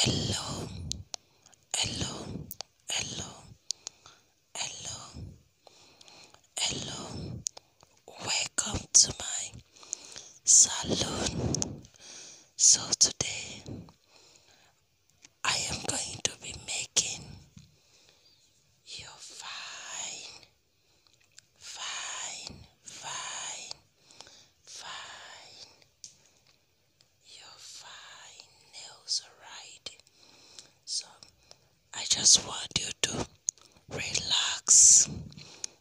hello hello hello hello hello welcome to my salon so today i am going to be making your fine fine fine fine your fine nails, alright? So, I just want you to relax,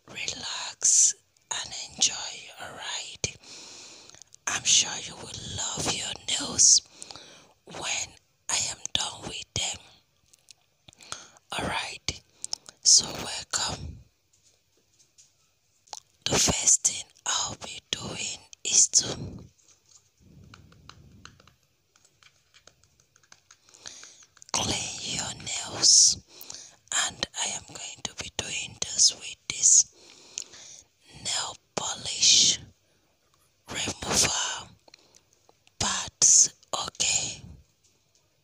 relax, and enjoy, alright? I'm sure you will love your nails when I am done with them. Alright, so welcome the first thing I'll be doing is to clean your nails and I am going to be doing this with this nail polish remover parts okay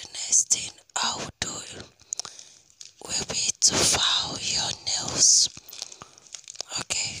The next thing I will do will be to file your nails. Okay.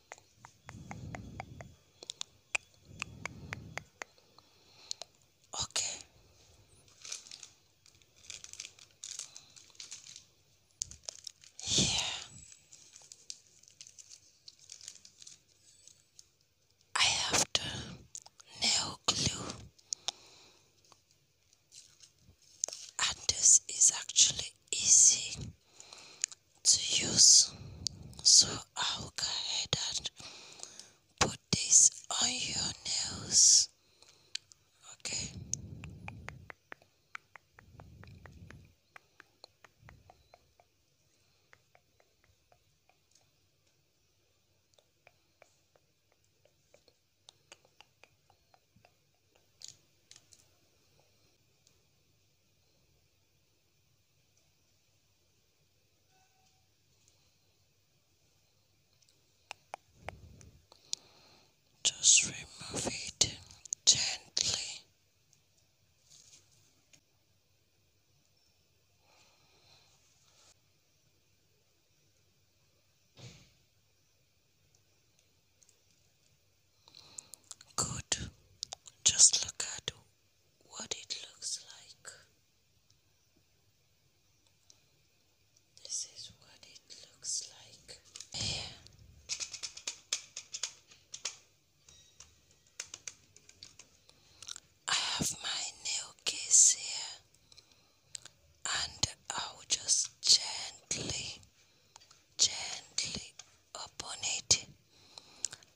Okay. Here. I have the nail glue. And this is actually easy to use. So I'll go ahead and put this on your nails. Okay. Just remove it gently. Good. Just look at what it looks like. This is what it looks like. I have my nail case here, and I will just gently, gently upon it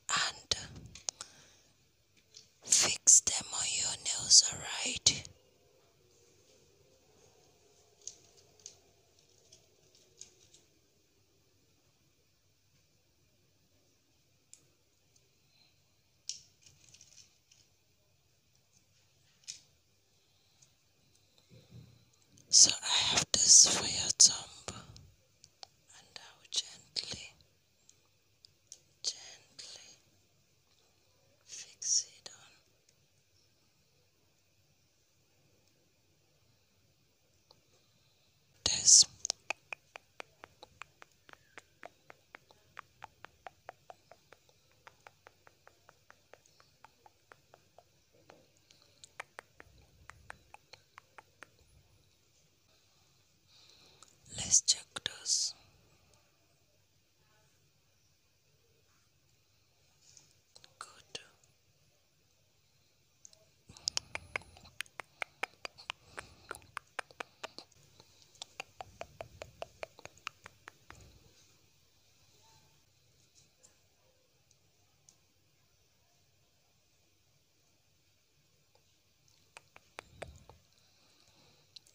and fix them on your nails, alright? So I have this for your thumb, and I will gently, gently fix it on. This. Let's check those. Good.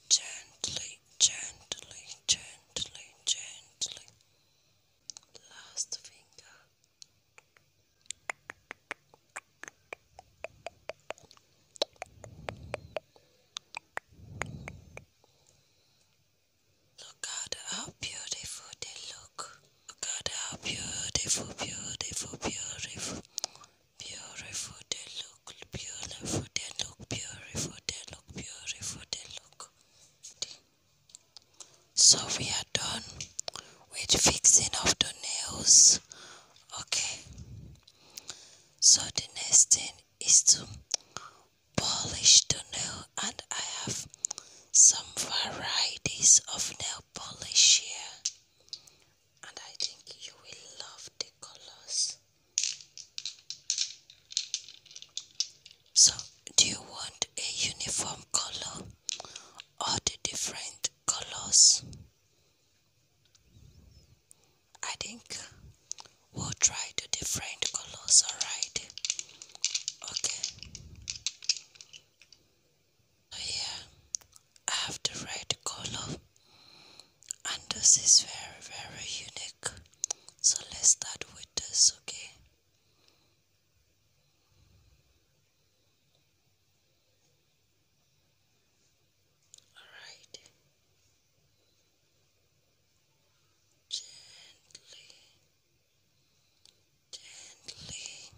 Gently, gently, gently, gently. Last finger. Look at how beautiful they look. Look at how beautiful, beautiful, beautiful, beautiful they look. Beautiful they look. Beautiful they look. Beautiful they look. So we are done with fixing of the nails. Okay. So the next thing is to polish to nail and I have some varieties of nail polish here and I think you will love the colors. So do you want a uniform color or the different colors? I think we'll try the different colors alright Okay. So oh, I have the red color and this is very very unique. So let's start with this, okay? Alright. Gently gently,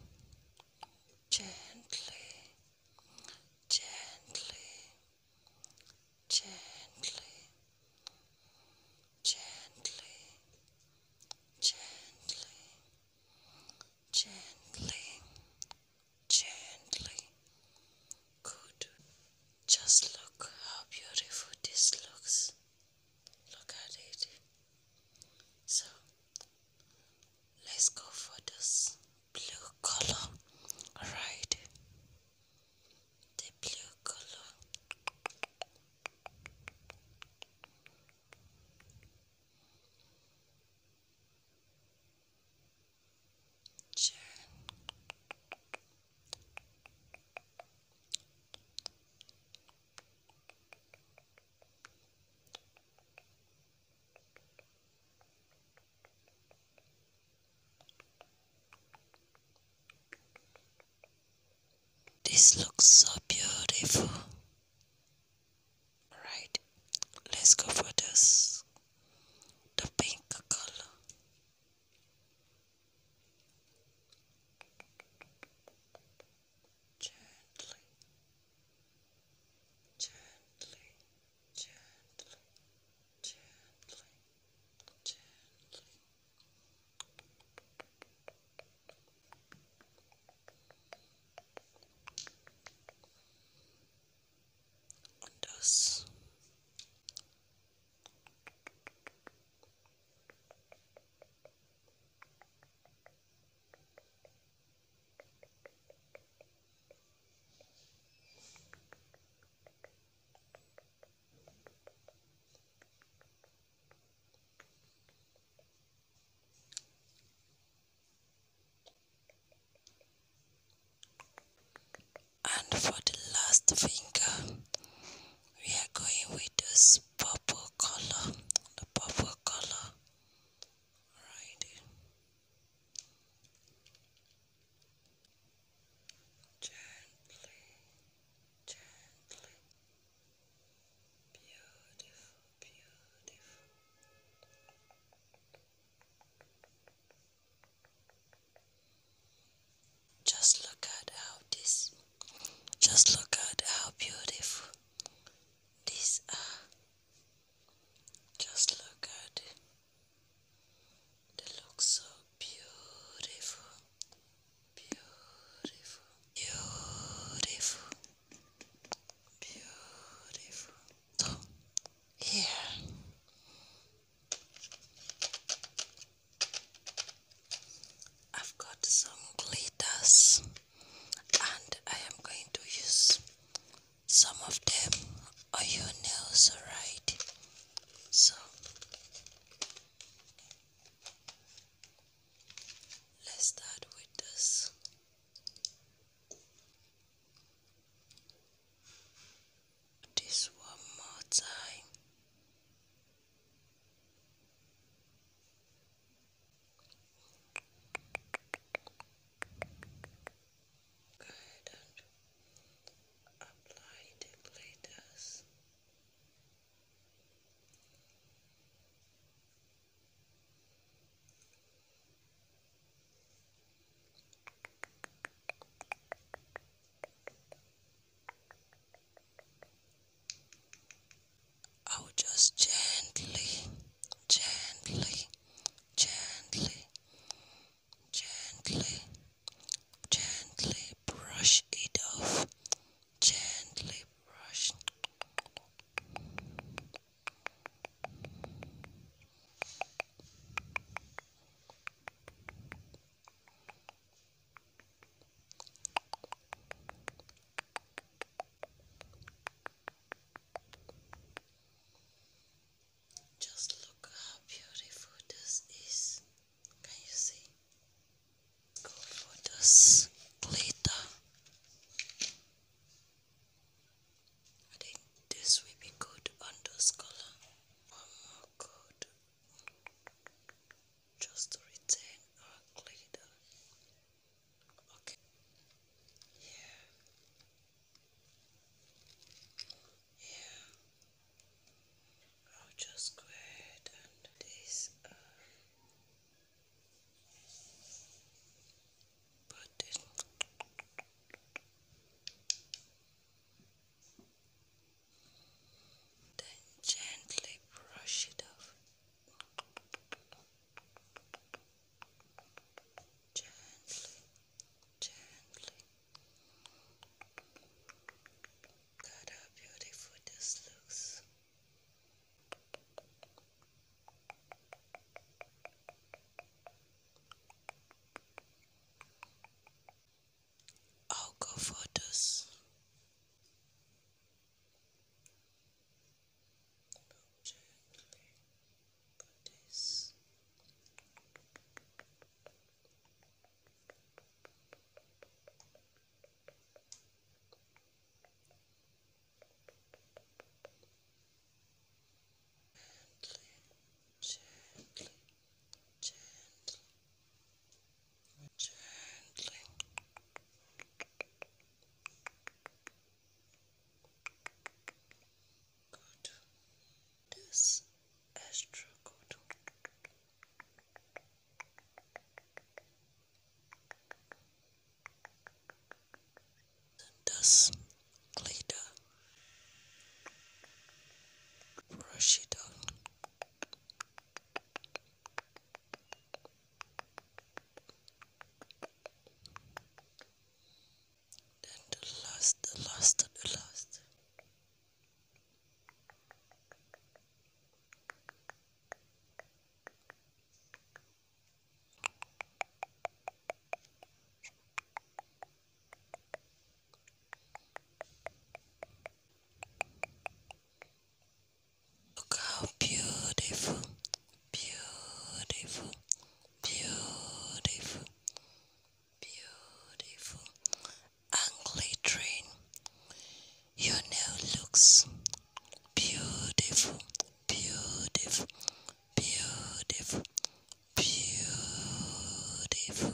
gently, gently, gently, gently, gently, gently, gently. Good. Just look how beautiful this looks look at it. So let's go for this blue color, alright? The blue color. Turn. This looks so beautiful. Alright, let's go for this the pink color. Gently, gently, gently, gently, gently. Und and for the last finger, we are going with this purple color the purple color right gently gently beautiful beautiful just look at how this just look at how beautiful these are. Just look at it. They look so beautiful. Beautiful. Beautiful. Beautiful. here I've got some glitters and I am going to use some of them on your nails, alright? So let's start with this. This one more time and apply the glitters. I'll oh, just gently, gently, gently, gently, gently brush it off. Gently brush. Just look how beautiful this is. Can you see? Go for this glitter. I think this will be good on color. One more good just to retain our glitter. Okay. Here. Here. I'll just go ahead and this uh, then gently brush it off. Gently, gently. God, how beautiful this looks. I'll go for this. Gently, gently, gently, gently. Good. This extra good. This glitter. Brush it on. Then the last, the last, the last. Look how beautiful, beautiful, beautiful, beautiful, and glittering. Your nail looks beautiful, beautiful, beautiful, beautiful.